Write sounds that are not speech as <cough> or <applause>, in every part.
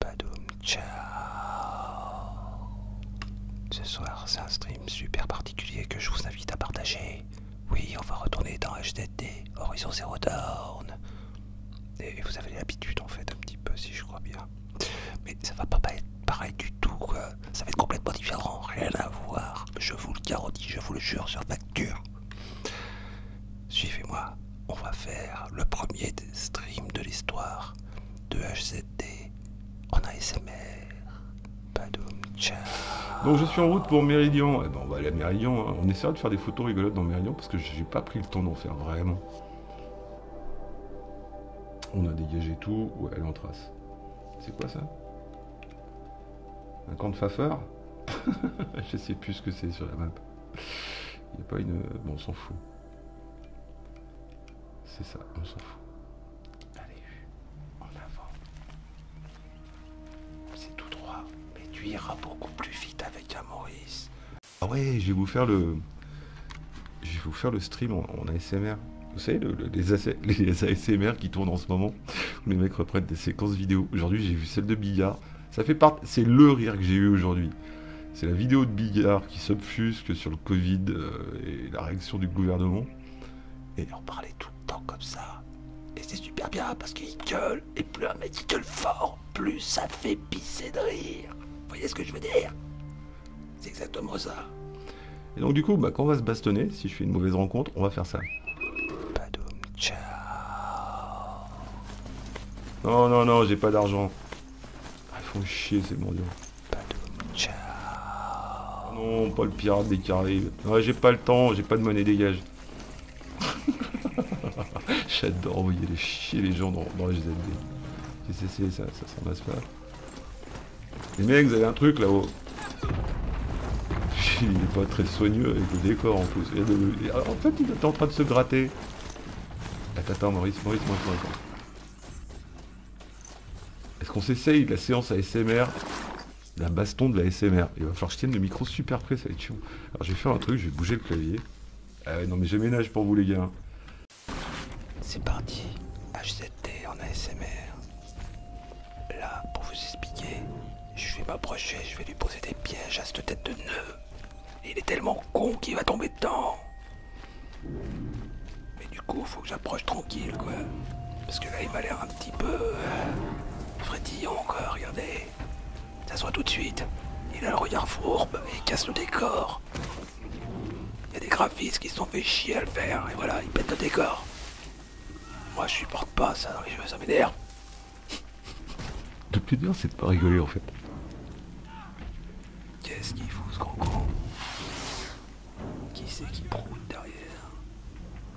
Badoum, ciao Ce soir, c'est un stream super particulier que je vous invite à partager. Oui, on va retourner dans Htt, Horizon Zero Dawn. Et vous avez l'habitude, en fait, un petit peu, si je crois bien. Mais ça va pas être pareil du tout, Ça va être complètement différent, rien à voir. Je vous le garantis, je vous le jure sur facture. Suivez-moi on va faire le premier stream de l'histoire de HZD en ASMR. Padum tchao Donc je suis en route pour Méridion. Eh ben, on va aller à Méridion. Hein. On essaiera de faire des photos rigolotes dans Méridion parce que j'ai pas pris le temps d'en faire vraiment. On a dégagé tout. Ouais, elle en trace. C'est quoi ça Un camp de fafeur <laughs> Je sais plus ce que c'est sur la map. Il n'y a pas une... Bon, on s'en fout. C'est ça, on s'en fout. Allez, en avant. C'est tout droit, mais tu iras beaucoup plus vite avec Maurice Ah ouais, je vais vous faire le... Je vais vous faire le stream en, ASMR. Vous savez, les, ASMR <laughs> qui tournent en ce moment, où les mecs reprennent des séquences vidéo. Aujourd'hui, j'ai vu celle de billard. Ça fait partie, C'est le rire que j'ai eu aujourd'hui. C'est la vidéo de Bigard qui s'obfusque sur le Covid euh, et la réaction du gouvernement. Et on parlait tout le temps comme ça. Et c'est super bien parce qu'il gueule. Et plus un mec gueule fort, plus ça fait pisser de rire. Vous voyez ce que je veux dire C'est exactement ça. Et donc du coup, bah, quand on va se bastonner, si je fais une mauvaise rencontre, on va faire ça. Non, non, non, j'ai pas d'argent. Ah, ils font chier ces mondiaux. Ah non, pas le pirate des Caraïbes. j'ai pas le temps, j'ai pas de monnaie, dégage. <laughs> J'adore envoyer les chier les gens dans, les ZD. GCC, ça, ça s'en pas. Les mecs, vous avez un truc là-haut. <laughs> Il est pas très soigneux avec le décor en plus. En fait, il était en train de se gratter. Attends, attends, Maurice, Maurice, Maurice, Maurice. Est-ce qu'on s'essaye la séance ASMR La baston de la SMR Il va falloir que je tienne le micro super près, ça va être chiant. Alors je vais faire un truc, je vais bouger le clavier. Ah non mais je ménage pour vous les gars. C'est parti, HZT en ASMR. Là, pour vous expliquer, je vais m'approcher, je vais lui poser des pièges à cette tête de nœud. Il est tellement con qu'il va tomber dedans. Mais du coup, faut que j'approche tranquille, quoi. Parce que là, il m'a l'air un petit peu euh, frétillon quoi. Regardez. Ça se voit tout de suite. Il a le regard fourbe et il casse le décor. Il y a des graphistes qui se sont fait chier à le faire et voilà, il pète le décor. Moi, je supporte pas ça dans les jeux, ça m'énerve. Le plus bien c'est de pas rigoler en fait. Qu'est-ce qu'il fout ce grand con Qui c'est qui proute derrière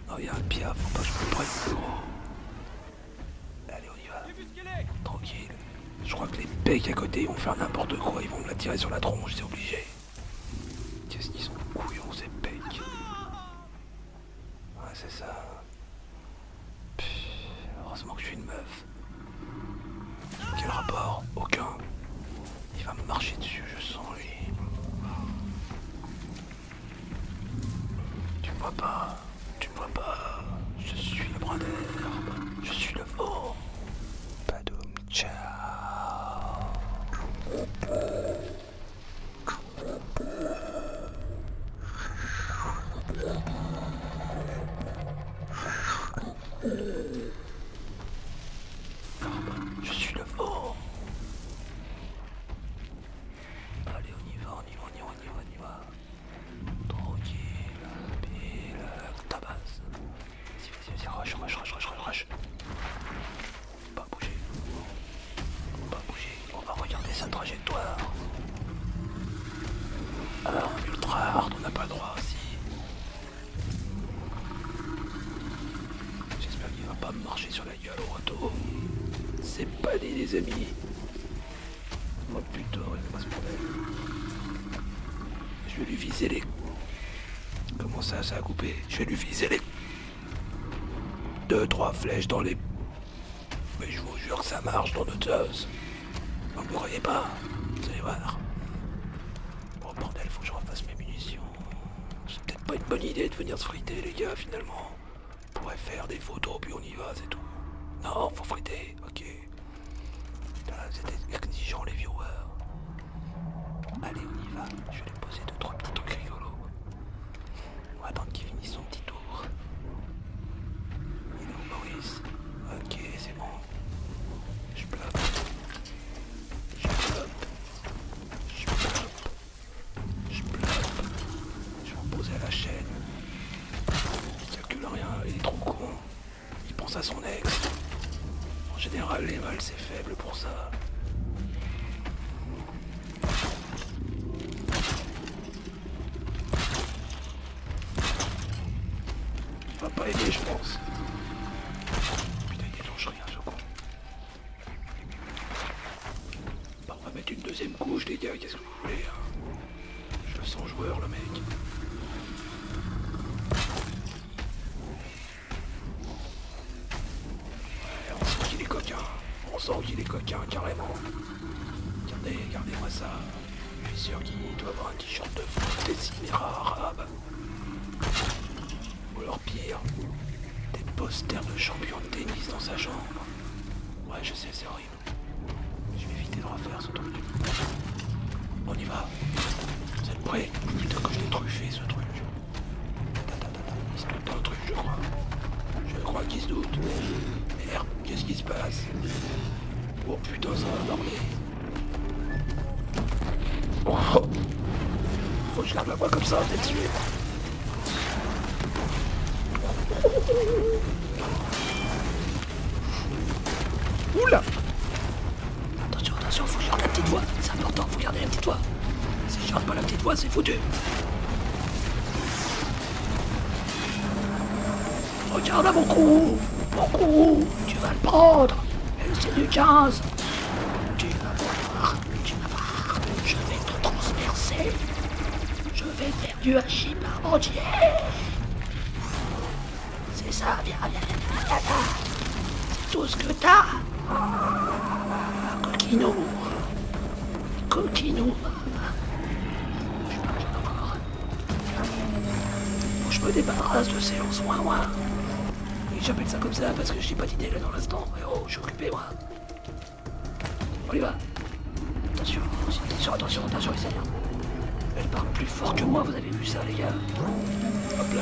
Non, y'a un piaf, faut pas que je me prenne gros. Allez, on y va. Tranquille. Je crois que les pecs à côté ils vont faire n'importe quoi, ils vont me la tirer sur la tronche, c'est obligé. Qu'est-ce qu'ils sont couillons ces pecs Ah, c'est ça heureusement que je suis une meuf. Quel rapport Aucun. Il va me marcher dessus, je sens lui. Tu me vois pas, tu me vois pas. Je suis le bras d'air. je suis le vent. d'homme ciao. Je suis le Allez, on y va, on y va, on y va, on y va, Tranquille, la tabasse. vas-y, vas-y, rush, rush, rush, rush, Pas bouger. On va regarder ça alors, ultra hard, on n'a pas le droit aussi. J'espère qu'il va pas me marcher sur la gueule au retour. C'est pas dit, les amis. Moi putain, Je vais lui viser les. Comment ça, ça a coupé Je vais lui viser les. Deux, trois flèches dans les mais je vous jure que ça marche dans notre teuses. Vous ne croyez pas Vous allez voir. Bon, bordel, faut que je refasse mes munitions. C'est peut-être pas une bonne idée de venir se friter, les gars, finalement. On pourrait faire des photos, puis on y va, c'est tout. Non, faut friter, ok. C'était exigeant, les viewers. Allez, on y va. Je vais poser deux, trois petits trucs rigolos. On va attendre qu'il finisse son petit il Ok, c'est bon. Je bloque. Je bloque. Je bloque. Je bloque. Je vais poser à la chaîne. Il calcule rien, il est trop con. Il pense à son ex. En général, les mâles, c'est faible pour ça. Il va pas aider, je pense. Putain, il déclenche rien, ce con. Bah, on va mettre une deuxième couche, les gars, qu'est-ce que vous voulez hein. Je sens joueur, le mec. Ouais, on sent qu'il est coquin. On sent qu'il est coquin, carrément. Regardez, regardez-moi ça. Je suis sûr qu'il doit avoir un t-shirt de foot des arabe. Ou alors pire, des posters de champion de tennis dans sa chambre. Ouais, je sais, c'est horrible. Je vais éviter de refaire ce truc. On y va. Vous êtes prêts Putain que je l'ai truffé ce truc. Il se doute dans truc, je crois. Je crois qu'il se doute. Merde, qu'est-ce qui se passe Oh putain, ça va dormir. Oh. Faut que je garde la voix comme ça, je Oula Attention, attention, faut que je garde la petite voix. C'est important, faut garder la petite voix. Si je garde pas la petite voix, c'est foutu. Regarde à beaucoup, beaucoup, Tu vas le prendre C'est du jazz, Tu vas voir Tu vas voir Je vais te transpercer Je vais faire du hachis C'est ça, viens, viens, viens, viens, C'est tout ce que t'as ah, Coquinou Coquinou je me débarrasse de ces lances moi. Et j'appelle ça comme ça parce que j'ai pas d'idée là dans l'instant. Oh, je suis occupé, moi. On y va. Attention, attention, attention, attention, les Elle parle plus fort que moi, vous avez vu ça, les gars. Hop là,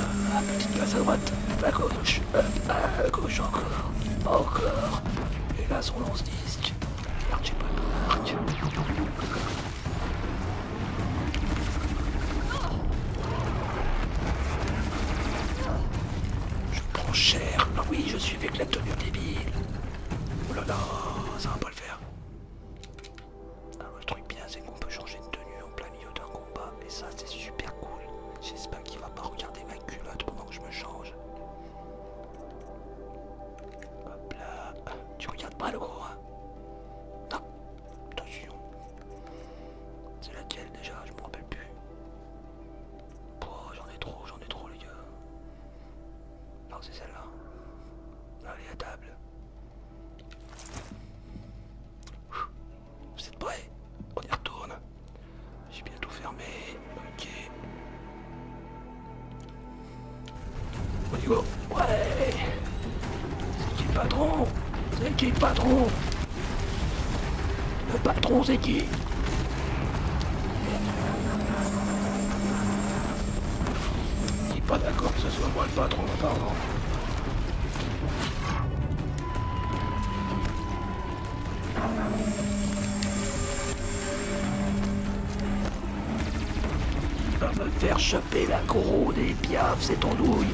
petite place à droite, à gauche, à gauche encore, encore. Et là, son lance-disque. Merde, pas Je prends cher. Ah oui, je suis avec tenue débile. Oh là là, ça va pas le faire. Ah, le truc bien, c'est qu'on peut changer de tenue en plein milieu d'un combat. Et ça, c'est super cool. J'espère qu'il va pas regarder ma culotte pendant que je me change. Hop là. tu regardes pas le gros, hein Non. Attention. C'est laquelle déjà Je me rappelle plus. Oh, j'en ai trop, j'en ai trop, les gars. Non, c'est celle-là. Allez, à table. Vous êtes prêts On y retourne. J'ai bientôt fermé ok. Ouais C'est qui le patron C'est qui le patron Le patron c'est qui Je suis pas d'accord que ce soit moi le patron, pardon. Il va me faire choper la couronne des piaves et ton douille.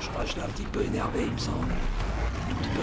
Je crois que je l'ai un petit peu énervé, il me semble. Un petit peu.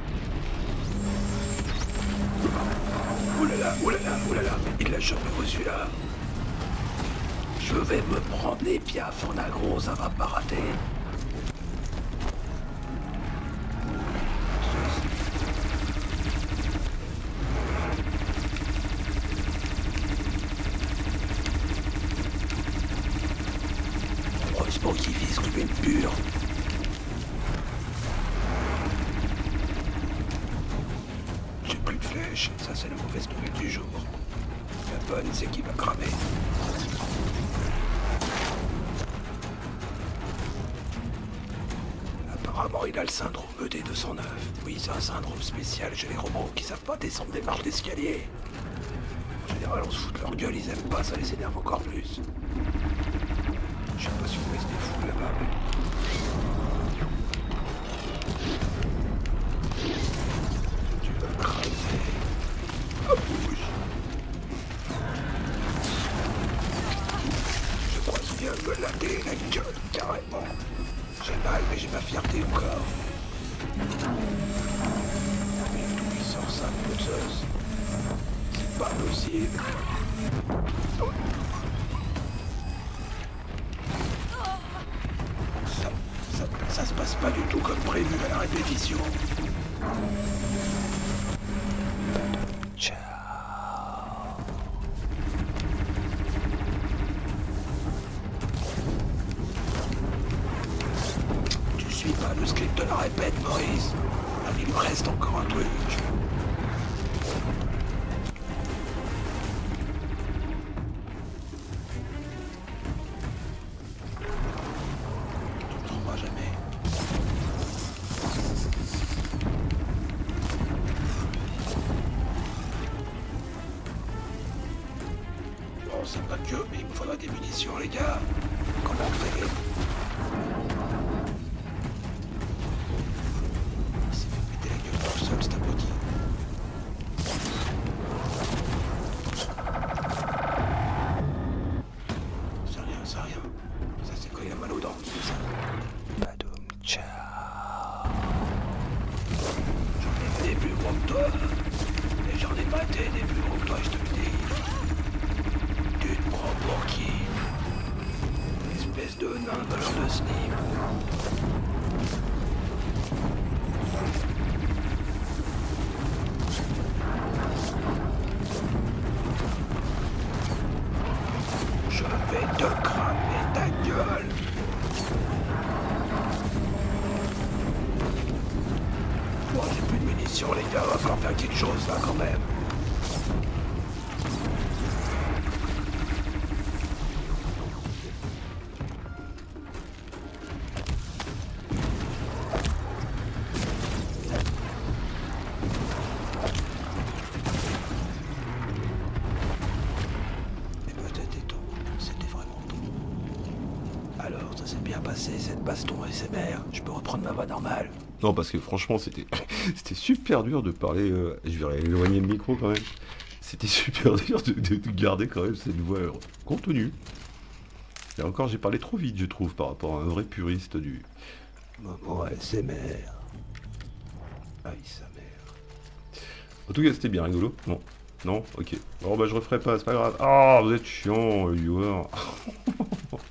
Oulala, oh oulala, oh oulala, il l'a jamais reçu là. Je vais me prendre les piaf, en agro, ça va pas rater. Heureusement qu'il vise Ruben pur. J'ai plus de flèches, ça c'est la mauvaise nouvelle du jour. La bonne, c'est qu'il va cramer. Apparemment, il a le syndrome ED209. Oui, c'est un syndrome spécial chez les robots qui savent pas descendre des marches d'escalier. En général, on se fout de leur gueule, ils aiment pas, ça les énerve encore plus. Je J'ai l'impression que vous des fous là-bas. Mais... Tu vas craser. Ah oui. Je crois bien que me laver la gueule carrément. J'ai mal, mais j'ai ma fierté encore. Mais tout puissance impoteuse pas possible. Ça, ça, se passe pas du tout comme prévu à la répétition. Ciao. Tu suis pas le script de la répète, Maurice. Ah, il me reste encore un peu. Tout le temps moi, jamais. Bon, c'est pas mais il me faudra des... Mission les gars. Comment traiter. Il s'est fait péter la gueule dans le sol, cet abruti. C'est rien, c'est rien. Ça, c'est quand il a mal aux dents, c'est ça. Badoum, ciao. J'en ai des plus gros que toi. Et j'en ai pas des plus gros que toi, je te le dis. Tu te pour qui Espèce de nain l'heure de slip. Je vais te cramer ta gueule. Moi, j'ai plus de munitions, les gars, on va faire quelque chose, là, quand même. peut-être eh ben, C'était vraiment Alors, ça s'est bien passé, cette baston mères. Je peux reprendre ma voie normale. Non, parce que franchement, c'était <laughs> super dur de parler. Euh, je vais éloigner le micro quand même. C'était super <laughs> dur de, garder quand même cette voix euh, contenue. Et encore, j'ai parlé trop vite, je trouve, par rapport à un vrai puriste du. Maman SMR. ASMR. Aïe, sa mère. En tout cas, c'était bien rigolo. Non. Non Ok. Bon, bah, je referai pas, c'est pas grave. Ah, vous êtes chiant, euh, viewer. <laughs>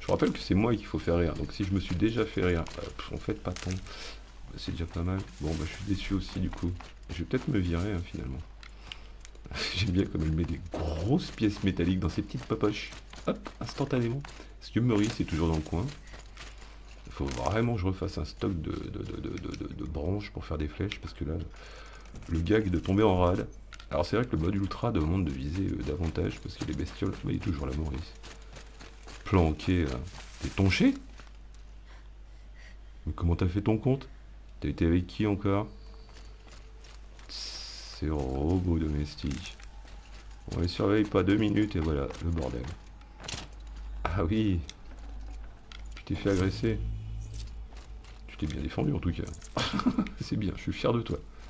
je rappelle que c'est moi qu'il faut faire rire. Donc si je me suis déjà fait rire, euh, en fait pas tant. Bah, c'est déjà pas mal. Bon, bah, je suis déçu aussi du coup. Je vais peut-être me virer hein, finalement. <laughs> J'aime bien comme elle met des grosses pièces métalliques dans ses petites poches Hop, instantanément. ce que Maurice c'est toujours dans le coin. Il faut vraiment que je refasse un stock de, de branches pour faire des flèches. Parce que là, le gag de tomber en rade, alors c'est vrai que le mode ultra demande de viser euh, davantage parce qu'il est bestiole, il est toujours la Maurice. Planqué, et euh, T'es tonché Mais comment t'as fait ton compte T'as été avec qui encore Ces robots domestiques. On les surveille pas deux minutes et voilà, le bordel. Ah oui Tu t'es fait agresser. Tu t'es bien défendu en tout cas. <laughs> c'est bien, je suis fier de toi.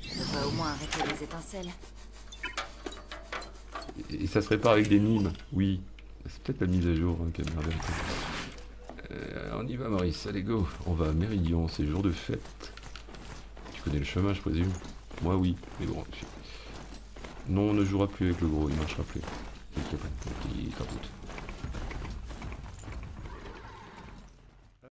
Je devrais au moins arrêter les étincelles. Et, ça se répare avec des mimes, oui. C'est peut-être la mise à jour hein, euh, on y va Maurice, allez go On va à Méridion, c'est jour de fête. Tu connais le chemin je présume Moi oui, mais bon... Non, on ne jouera plus avec le gros, il ne marchera plus.